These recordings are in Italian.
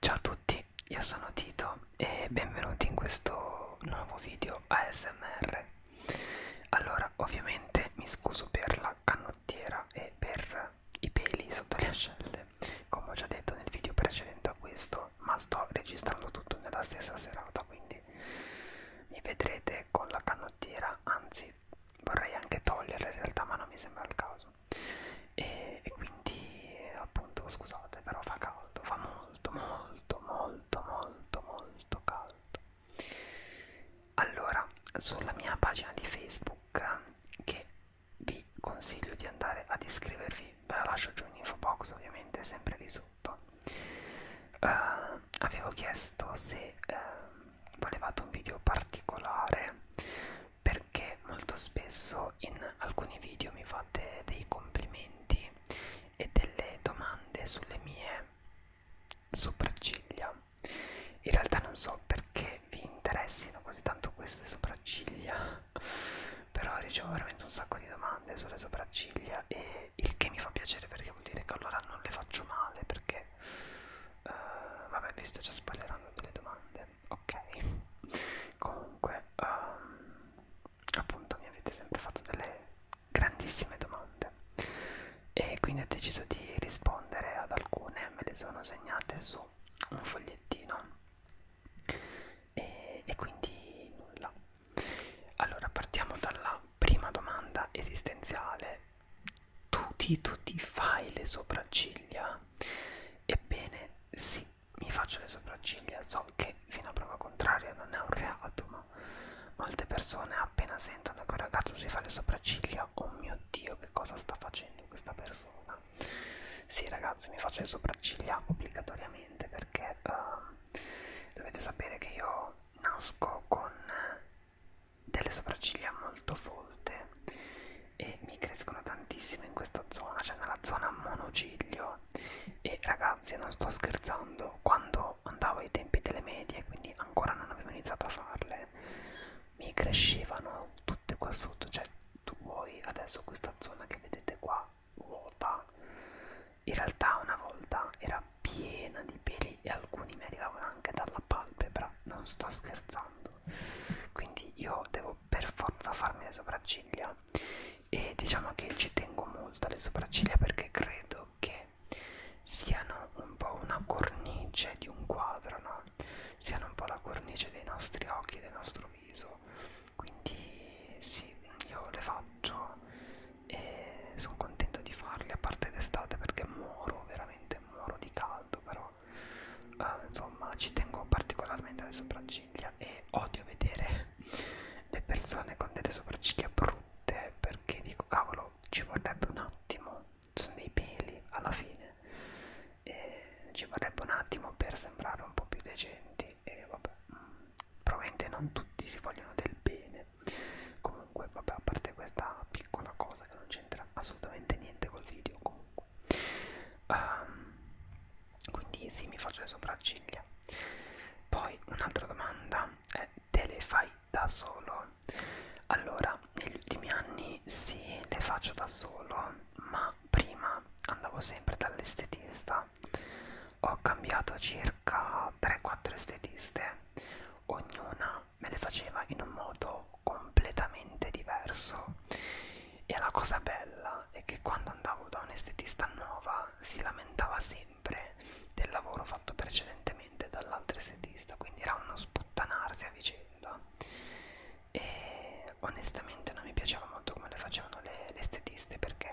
Ciao a tutti, io sono Tito e benvenuti in questo nuovo video ASMR. Allora, ovviamente mi scuso per la canottiera e per i peli sotto le ascelle, come ho già detto nel video precedente a questo, ma sto registrando tutto nella stessa serata, quindi mi vedrete con la canottiera, anzi vorrei anche toglierla in realtà, ma non mi sembra il caso e, e quindi appunto scusate però fa caldo fa molto molto molto molto molto caldo allora sulla mia pagina di facebook che vi consiglio di andare ad iscrivervi ve la lascio giù in info box ovviamente sempre lì sotto uh, avevo chiesto se uh, volevate un video particolare perché molto spesso in alcuni video mi fate dei complimenti e delle domande sulle mie sopracciglia in realtà non so perché vi interessino così tanto queste sopracciglia però ricevo veramente un sacco di domande sulle sopracciglia e il che mi fa piacere perché vuol dire che allora non le faccio male perché uh, vabbè vi sto già spoilerando delle domande ok comunque um, appunto mi avete sempre fatto delle grandissime domande e quindi ho deciso di rispondere ad alcune me le sono segnate su un fogliettino e, e quindi nulla allora partiamo dalla prima domanda esistenziale tu ti, tu ti fai le sopracciglia? Ebbene sì, mi faccio le sopracciglia, so che fino a prova contraria non è un reato, ma molte persone appena sentono che un ragazzo si fa le sopracciglia, oh mio dio che cosa sta facendo questa persona? Sì ragazzi, mi faccio le sopracciglia obbligatoriamente perché uh, dovete sapere che io nasco con delle sopracciglia molto folte e mi crescono tantissimo in questa zona, cioè nella zona monociglio e ragazzi non sto scherzando, quando andavo ai tempi delle medie, quindi ancora non avevo iniziato a farle, mi crescevano tutte qua sotto, cioè tu vuoi adesso questa zona che vedete qua vuota, in realtà una volta era piena di peli miei e alcuni mi arrivavano anche dalla palpebra, non sto scherzando. Quindi io devo per forza farmi le sopracciglia e diciamo che ci tengo molto alle sopracciglia perché credo che siano un po' una cornice di un quadro, no? Siano un po' la cornice dei nostri occhi, del nostro viso. Quindi sì, io le faccio e sono contento di farle a parte d'estate perché muoro veramente veramente muoro di caldo però uh, insomma ci tengo particolarmente alle sopracciglia e odio vedere le persone con delle sopracciglia brutte perché dico cavolo ci vorrebbe un attimo sono dei peli alla fine e ci vorrebbe un attimo per sembrare un po' più decenti e vabbè mm, probabilmente non tutti si vogliono del bene bene comunque vabbè a parte questa piccola cosa che non c'entra assolutamente niente col video comunque um, quindi sì mi faccio le sopracciglia poi un'altra domanda è te le fai da solo allora negli ultimi anni sì le faccio da solo ma prima andavo sempre dall'estetista ho cambiato circa 3-4 estetiste ognuna me le faceva in un modo completamente diverso e la cosa bella è che quando andavo da un'estetista nuova si lamentava sempre del lavoro fatto precedentemente dall'altra estetista quindi era uno sputtanarsi a vicenda e onestamente non mi piaceva molto come le facevano le, le estetiste perché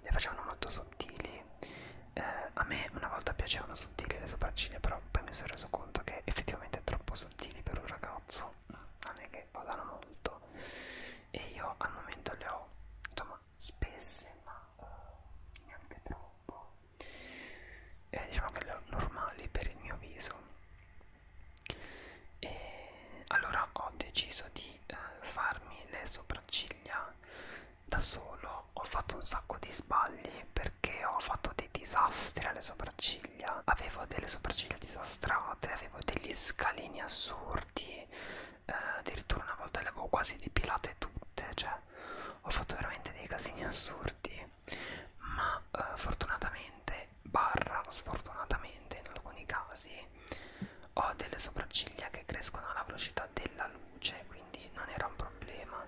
le facevano molto sottili eh, a me una volta piacevano sottili le sopracciglia, però poi mi sono reso conto che effettivamente è troppo sottili per un ragazzo, non è che vadano molto. E io al momento le ho insomma spesse, ma uh, neanche troppo. Eh, diciamo che le ho normali per il mio viso. E allora ho deciso di eh, farmi le sopracciglia da solo ho fatto un sacco di sbagli perché ho fatto dei disastri alle sopracciglia avevo delle sopracciglia disastrate avevo degli scalini assurdi eh, addirittura una volta le avevo quasi depilate tutte cioè ho fatto veramente dei casini assurdi ma eh, fortunatamente barra sfortunatamente in alcuni casi ho delle sopracciglia che crescono alla velocità della luce quindi non era un problema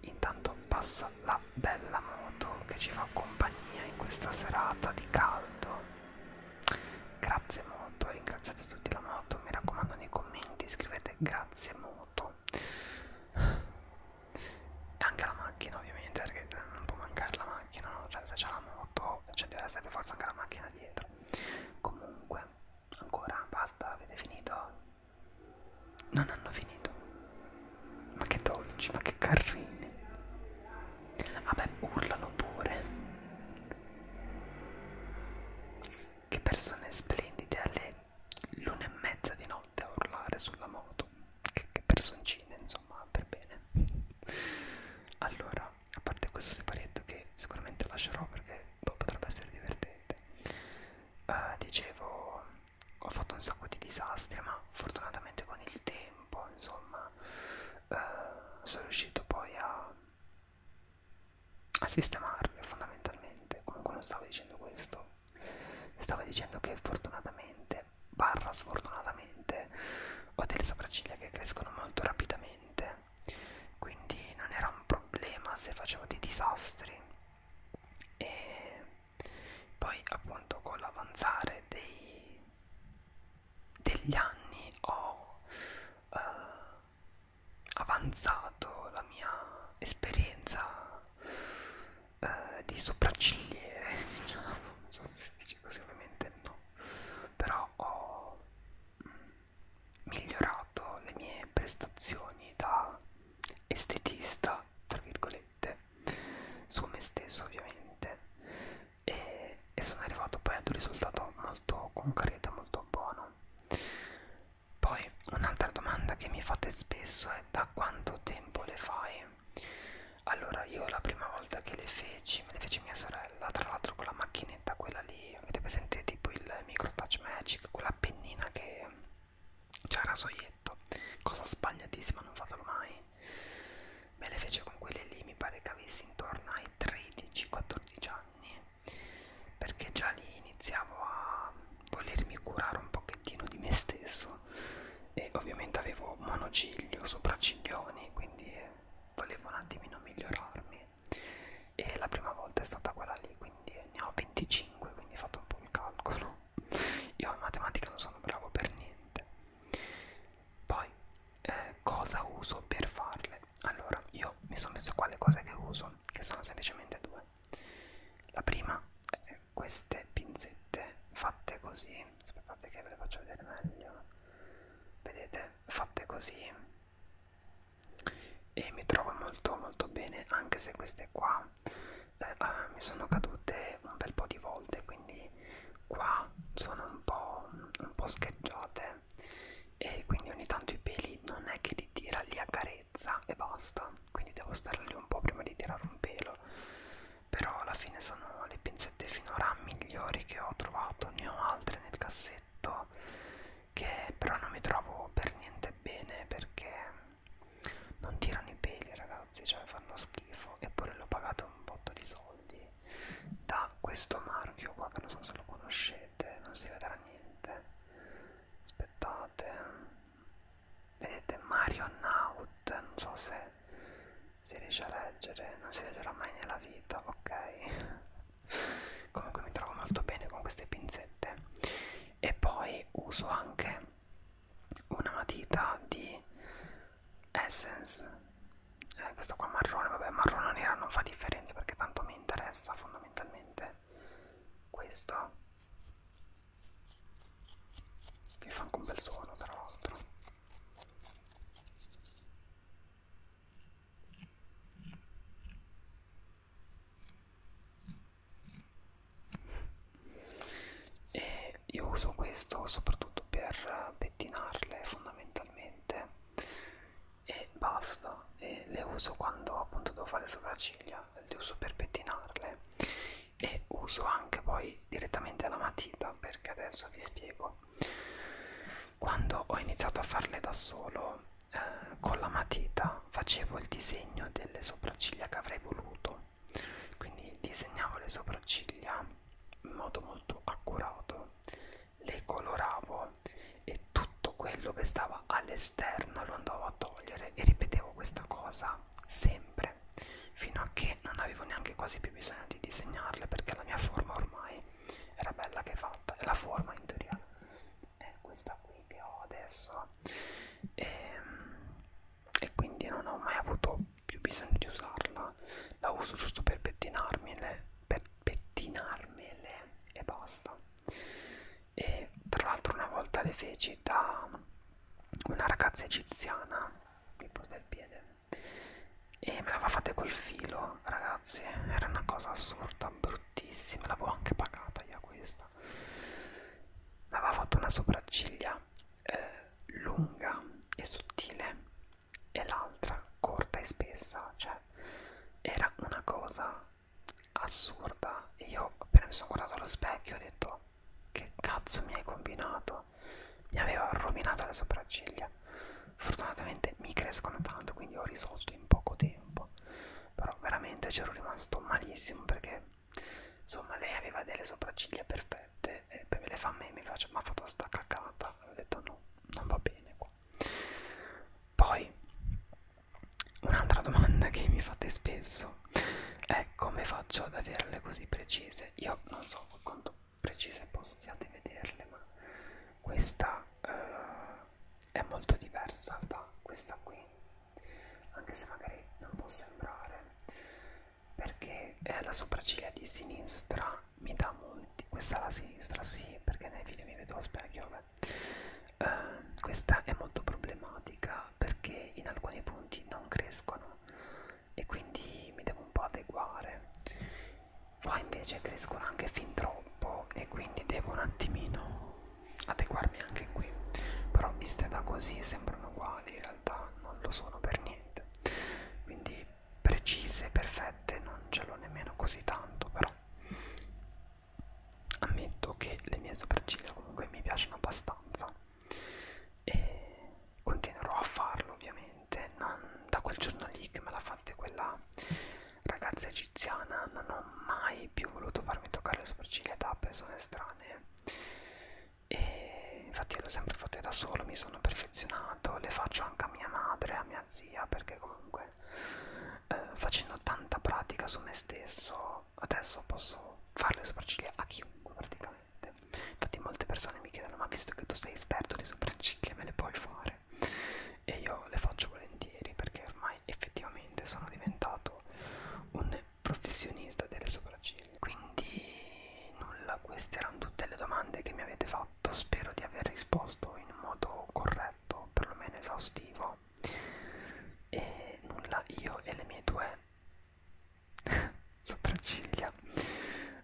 intanto passa la bella moto che ci fa compagnia in questa serata di caldo grazie moto ringraziate tutti la moto mi raccomando nei commenti scrivete grazie moto e anche la macchina ovviamente perché non può mancare la macchina no? cioè se c'è la moto cioè deve essere per forza anche la macchina dietro comunque Ancora? Basta? Avete finito? Non hanno finito. Ma che dolci, ma che carrini. Vabbè, urlano pure. Che persone splendide alle l'una e mezza di notte a urlare sulla moto. Che, che personcine, insomma, per bene. Allora, a parte questo separetto che sicuramente lascerò perché boh, potrebbe essere divertente uh, dicevo ho fatto un sacco di disastri ma fortunatamente con il tempo insomma uh, sono riuscito poi a, a sistemarli fondamentalmente comunque non stavo dicendo questo stavo dicendo che fortunatamente barra sfortunatamente ho delle sopracciglia che crescono molto rapidamente quindi non era un problema se facevo dei disastri e poi appunto con l'avanzare degli anni ho eh, avanzato la mia esperienza eh, di sopraccigliere diciamo non so se si dice così ovviamente no però ho mh, mm, migliorato le mie prestazioni da estetista, tra virgolette, su me stesso ovviamente, e, e sono arrivato poi ad un risultato molto concreto, molto buono. Poi un'altra domanda che mi fate spesso è da quanto tempo le fai? Allora io la prima volta che le feci, me le fece mia sorella, tra l'altro con la macchinetta pennetta, quella lì, avete presente tipo il micro touch magic, quella pennina che c'ha il rasoietto, cosa sbagliatissima, non fatelo mai. Me le fece con quelle lì, mi pare che avessi intorno ai 13-14 anni, perché già lì iniziavo a volermi curare un pochettino di me stesso e ovviamente avevo monociglio, sopracciglioni, quindi volevo un attimino migliorarmi e la prima volta è stata quella lì quindi ne ho 25 quindi ho fatto un po' il calcolo io in matematica non sono bravo per niente poi eh, cosa uso per farle allora io mi sono messo qua le cose che uso che sono semplicemente due la prima è queste pinzette fatte così aspettate che ve le faccio vedere meglio vedete fatte così e mi trovo molto molto bene anche se queste qua eh, eh, mi sono cadute un bel po' di volte quindi qua sono un po', un po' scheggiate e quindi ogni tanto i peli non è che li tira, li accarezza e basta quindi devo stare lì un po' prima di tirare un pelo però alla fine sono le pinzette finora migliori che ho trovato ne ho altre nel cassetto che però non mi trovo per niente bene perché non tirano i peli ragazzi cioè fanno schifo eppure l'ho pagato un botto di soldi da questo marchio qua che non so se lo conoscete non si vedrà niente aspettate vedete Mario Naut non so se si riesce a leggere, non si leggerà mai nella vita, ok? Comunque mi trovo molto bene con queste pinzette. E poi uso anche una matita di Essence, eh, questa qua marrone, vabbè marrone nera non fa differenza perché tanto mi interessa fondamentalmente questo che fa anche un bel suono tra l'altro e io uso questo soprattutto per pettinarle fondamentalmente e basta e le uso quando appunto devo fare sopracciglia le uso per pettinarle e uso anche poi direttamente la matita perché adesso vi spiego quando ho iniziato a farle da solo eh, con la matita facevo il disegno delle sopracciglia che avrei voluto quindi disegnavo le sopracciglia in modo molto accurato le coloravo e tutto quello che stava all'esterno lo andavo a togliere e ripetevo questa cosa sempre disegnare fino a che non avevo neanche quasi più bisogno di disegnarle perché la mia forma ormai era bella che fatta e la forma in teoria è questa qui che ho adesso e, ehm, e quindi non ho mai avuto più bisogno di usarla la uso giusto per pettinarmele per pettinarmele e basta e tra l'altro una volta le feci da una ragazza egiziana mi porta il piede e me l'aveva fatta col filo ragazzi era una cosa assurda bruttissima l'avevo anche pagata io questa mi aveva fatto una sopracciglia eh, lunga e sottile e l'altra corta e spessa cioè era una cosa assurda e io appena mi sono guardato allo specchio ho detto che cazzo mi hai combinato? Mi aveva rovinato le sopracciglia. Fortunatamente mi crescono tanto, quindi ho risolto in poco tempo. Però veramente c'ero rimasto malissimo perché insomma lei aveva delle sopracciglia perfette e me le fa a me mi, faccio, mi ha fatto sta cacata. Ho detto no, non va bene qua. Poi un'altra domanda che mi fate spesso eh, come faccio ad averle così precise? Io non so quanto precise possiate vederle, ma questa eh, è molto diversa da questa qui, anche se magari non può sembrare, perché eh, la sopracciglia di sinistra mi dà molti, questa è la sinistra sì, perché nei video mi vedo a specchio, vabbè. Eh, questa è molto problematica pratica perché in alcuni punti non crescono e quindi mi devo un po' adeguare poi invece crescono anche fin troppo e quindi devo un attimino adeguarmi anche qui però viste da così sembrano uguali in realtà non lo sono per niente quindi precise perfette non ce l'ho nemmeno così tanto però ammetto che le mie sopracciglia comunque mi piacciono abbastanza e continuerò a farlo ovviamente non da quel giorno lì che me l'ha fatta quella ragazza egiziana non ho mai più voluto farmi toccare le sopracciglia da persone estranee e infatti l'ho sempre fatta da solo mi sono perfezionato le faccio anche a mia madre a mia zia perché comunque eh, facendo tanta pratica su me stesso adesso posso fare le sopracciglia a chiunque praticamente infatti molte persone mi chiedono ma visto che tu sei esperto di sopracciglia me le puoi fare e io le faccio volentieri perché ormai effettivamente sono diventato un professionista delle sopracciglia quindi nulla queste erano tutte le domande che mi avete fatto spero di aver risposto in modo corretto perlomeno esaustivo no e nulla io e le mie due sopracciglia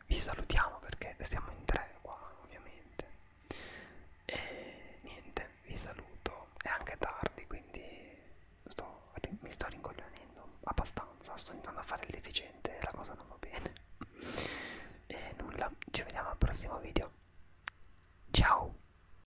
vi salutiamo perché siamo in tre qua ovviamente e niente vi saluto è anche tardi quindi sto, mi sto rincoglionendo abbastanza sto iniziando a fare il deficiente la cosa non va bene e nulla ci vediamo al prossimo video ciao